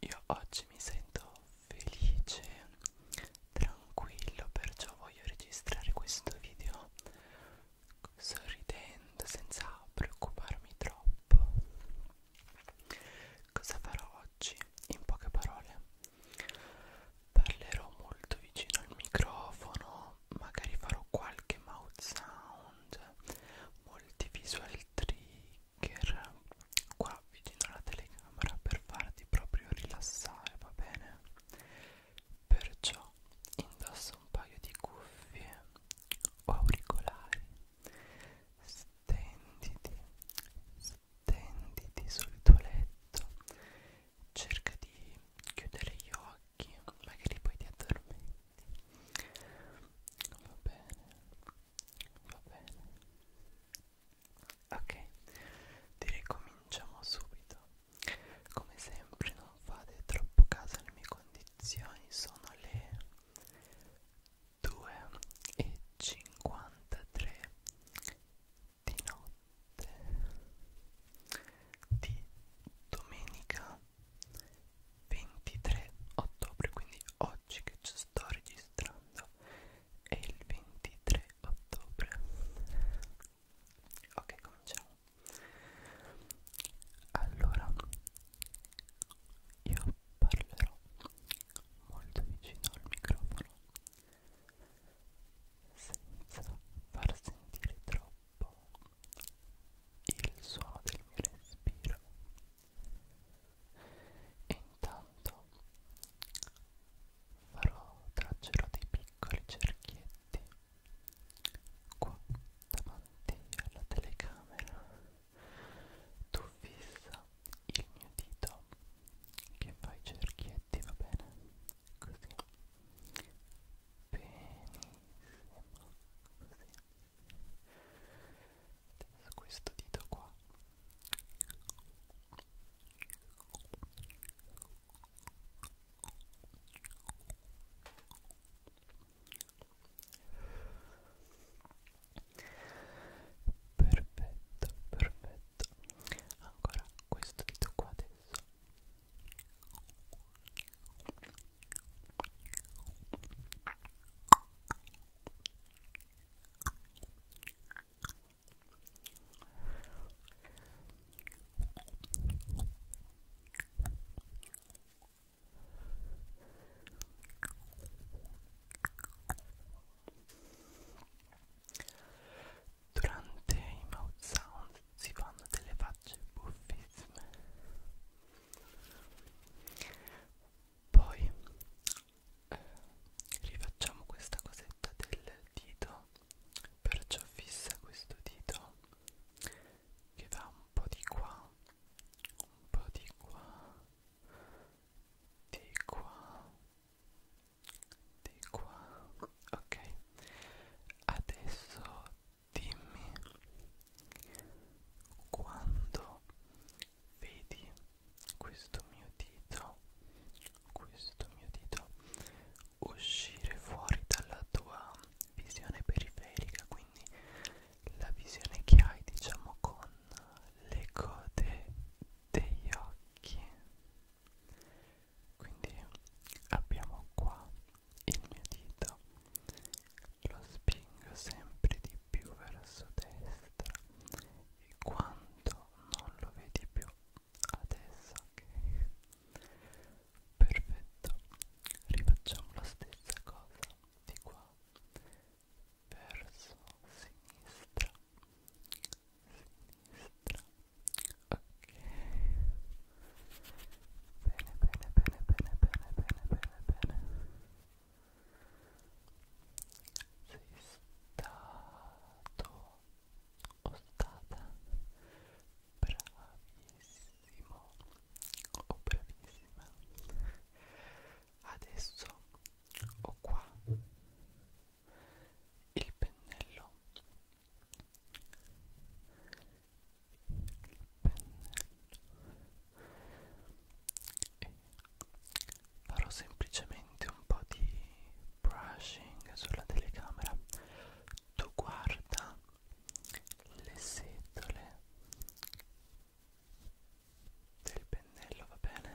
Io oggi mi sento felice, tranquillo, perciò voglio registrare questo video sorridendo senza preoccuparmi troppo. Cosa farò oggi? In poche parole, parlerò molto vicino al microfono, magari farò qualche mouth sound, molti visual trick trigger qua vicino alla telecamera per farti proprio rilassare, va bene? Perciò indossa un paio di cuffie o auricolari, stenditi, stenditi sul tuo letto, cerca di chiudere gli occhi, magari poi ti addormenti. Va bene va bene ok direi cominciamo subito come sempre non fate troppo caso alle mie condizioni sono le 2 e 53 di notte di domenica 23 ottobre quindi oggi che ci sto registrando è il 23 ottobre ok cominciamo allora io parlerò molto vicino al microfono senza far sentire troppo il suono del mio respiro e intanto farò traccerò dei piccoli cerchietti qua davanti alla telecamera tu fissa il mio dito che fa i cerchietti va bene così benissimo così questo dito qua perfetto perfetto ancora questo dito qua adesso Durante i mouth sound si fanno delle facce buffissime poi eh, rifacciamo questa cosetta del dito perciò fissa questo dito che va un po' di qua un po' di qua di qua di qua ok adesso dimmi quando vedi questo mio dito questo mio dito uscire fuori dalla tua visione periferica quindi la visione che hai diciamo con le code degli occhi quindi abbiamo qua il mio dito lo spingo sempre di più verso destra e quando non lo vedi più adesso ok perfetto rifacciamo la stessa cosa di qua verso sinistra sinistra ok bene bene bene bene bene bene bene bene sei stato o stata bravissimo o bravissima adesso ho qua il pennello e farò semplicemente un po' di brushing sulla telecamera tu guarda le setole del pennello va bene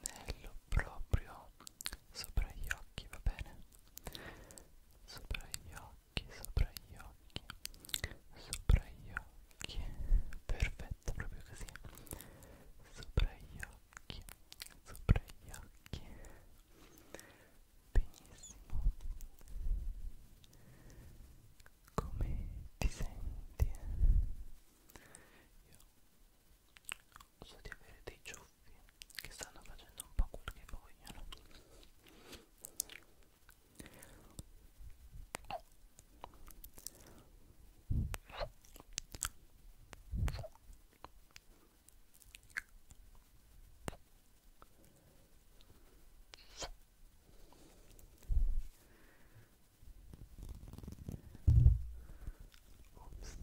pennello proprio sopra gli occhi, va bene? Sopra gli occhi, sopra gli occhi, sopra gli occhi, perfetto, proprio così. Sopra gli occhi, sopra gli occhi. Benissimo. Come ti senti? Io so di avere dei ciuffi che stanno facendo un po' quel che vogliono Ops.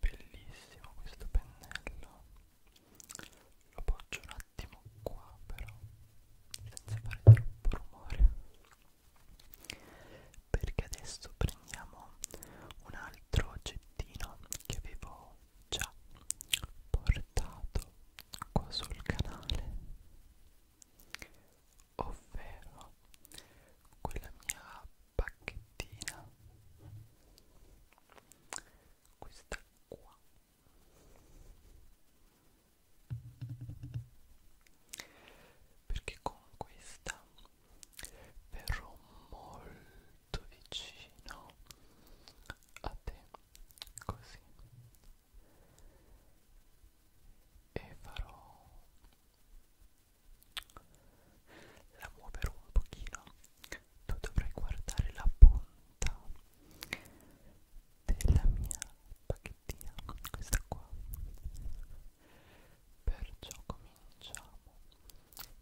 Bellissimo questo pennello. Lo poggio un attimo qua però senza fare troppo rumore. Perché adesso prendiamo un altro oggetto mattino che avevo già portato qua sul canale ovvero quella mia pacchettina questa qua perché con questa verrò molto vicino a te così e farò la muoverò un pochino tu dovrai guardare la punta della mia pacchettina questa qua perciò come cominciamo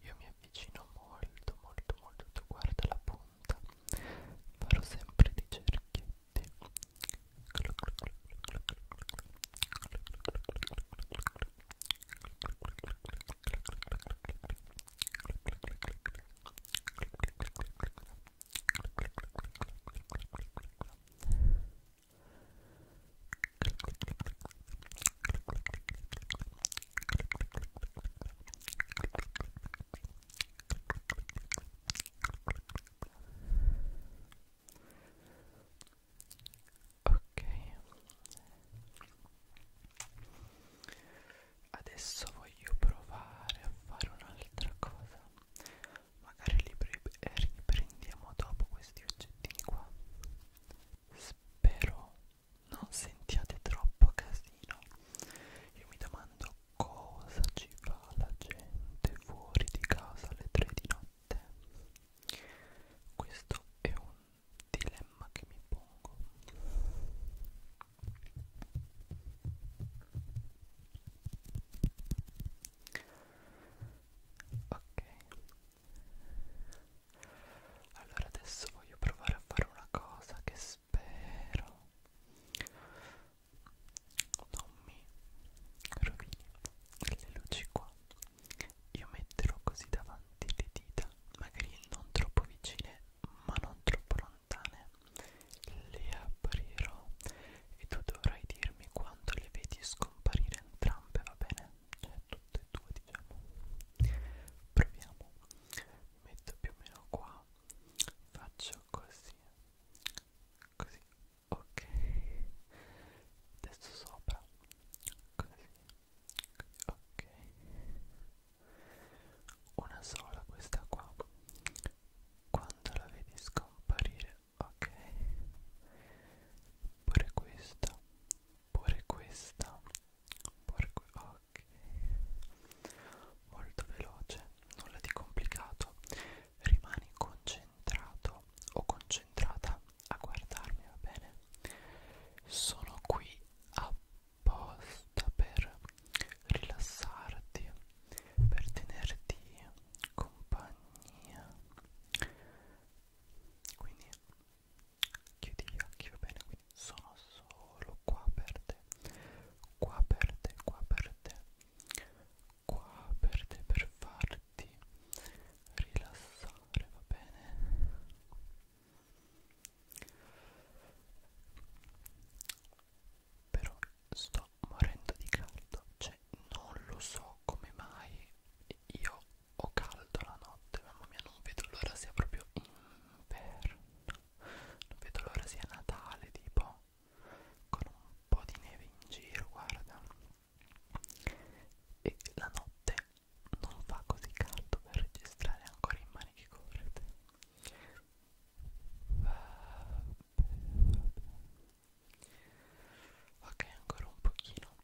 io mi avvicino molto molto molto tu guarda la punta farò sempre di cerchietti Ecco Ok, adesso voglio provare a fare un'altra cosa. Magari li eh, riprendiamo dopo questi oggettini qua. Spero non sentiate troppo casino io mi domando cosa ci fa la gente fuori di casa alle 3 di notte questo è un dilemma che mi pongo ok allora adesso voglio provare a fare una cosa che spero non mi rovini le luci qua io metterò così davanti le dita magari non troppo vicine ma non troppo lontane le aprirò e tu dovrai dirmi quando le vedi scomparire entrambe va bene? cioè tutte e 2 diciamo proviamo mi metto più o meno qua faccio così così ok adesso sopra così ok una sola questa qua quando la vedi scomparire ok pure questa pure questa Porco, ok. Molto veloce, nulla di complicato. Rimani concentrato o concentrata a guardarmi, va bene? Sono qui apposta per rilassarti, per tenerti compagnia. Quindi chiudi gli occhi va bene quindi sono solo qua per te qua per te qua per te qua per te per farti rilassare va bene però sto morendo di caldo cioè non lo so come mai io ho caldo la notte, mamma mia, non vedo l'ora sia proprio inverno. Non vedo l'ora sia Natale, tipo con un po' di neve in giro, guarda. E la notte non fa così caldo per registrare ancora in maniche corte. Vabbè, vabbè. Ok, ancora un pochino.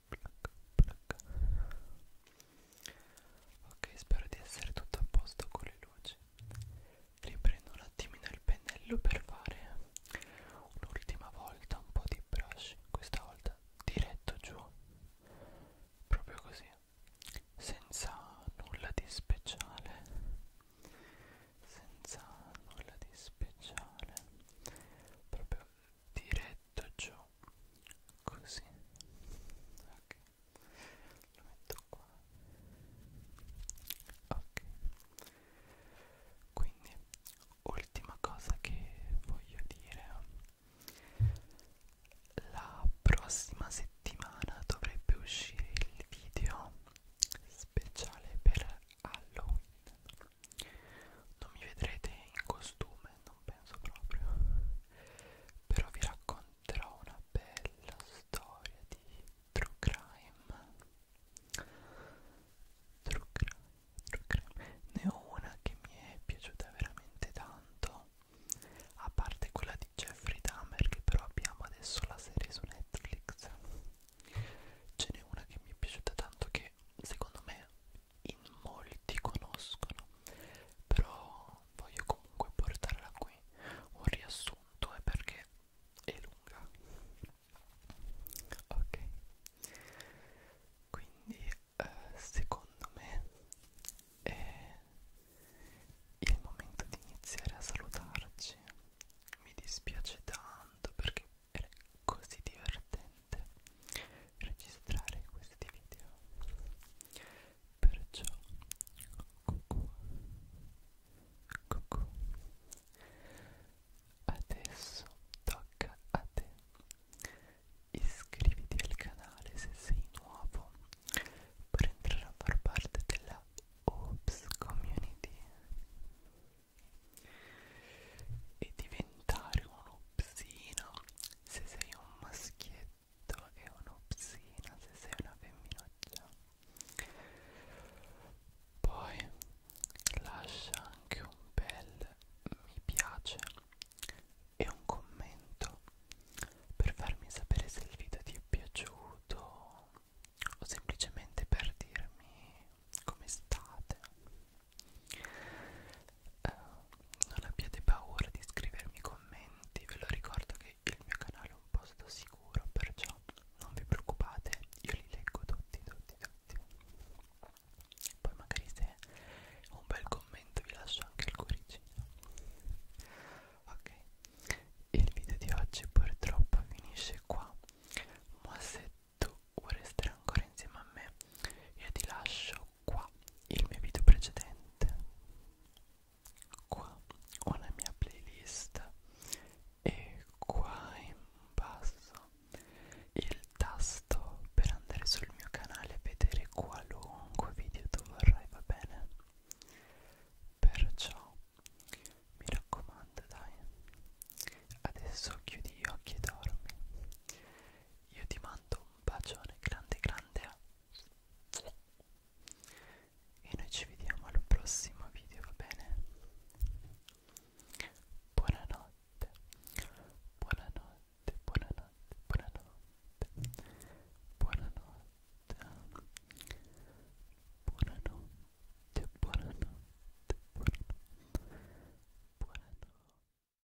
plac. Ok, spero di essere tutto a posto con le luci. Riprendo un attimino il pennello per fare un'ultima volta un po' di brush, questa volta diretto giù, proprio così, senza nulla di speciale, senza nulla di speciale, proprio diretto giù po' così ok lo metto qua ok quindi ultima cosa che voglio dire la prossima settimana dovrebbe uscire il video speciale per Halloween non mi vedrete in costume non penso proprio però vi racconterò una bella storia di true crime true crime, true crime. ne ho una che mi è piaciuta veramente tanto a parte quella di Jeffrey Dahmer che però abbiamo adesso la serie su Netflix ce n'è una che mi è piaciuta tanto che secondo me in molti conoscono però voglio comunque portarla qui un riassunto è eh, perché è lunga ok quindi eh, secondo me è il momento di iniziare a salutarci mi dispiace tanto perché era così divertente importante registrare questi video perciò cucù, cucù. adesso tocca a te iscriviti al canale se sei nuovo per entrare a far parte della Oops Community e diventare un upsino se sei un maschietto e un'opsina, se sei una femminuccia. Poi lascia anche un bel mi piace e un commento per farmi sapere se il video ti è piaciuto o semplicemente per dirmi come state Uh, non abbiate paura di scrivermi commenti, ve lo ricordo che il mio canale è un posto sicuro, perciò non vi preoccupate, io li leggo tutti, tutti, tutti. Poi magari se un bel commento vi lascio anche il cuoricino. Ok, il video di oggi purtroppo finisce qua, ma se tu vuoi restare ancora insieme a me, io ti lascio qua il mio video precedente qua ho la mia playlist e qua in basso il tasto per andare sul mio canale e vedere qualunque video tu vorrai va bene perciò mi raccomando dai adesso chiudi gli occhi e dormi io ti mando un bacione grande grande e noi ci vediamo al prossimo video va bene buonanotte buonanotte buonanotte buonanotte buonanotte buonanotte buonanotte buonanotte buonanotte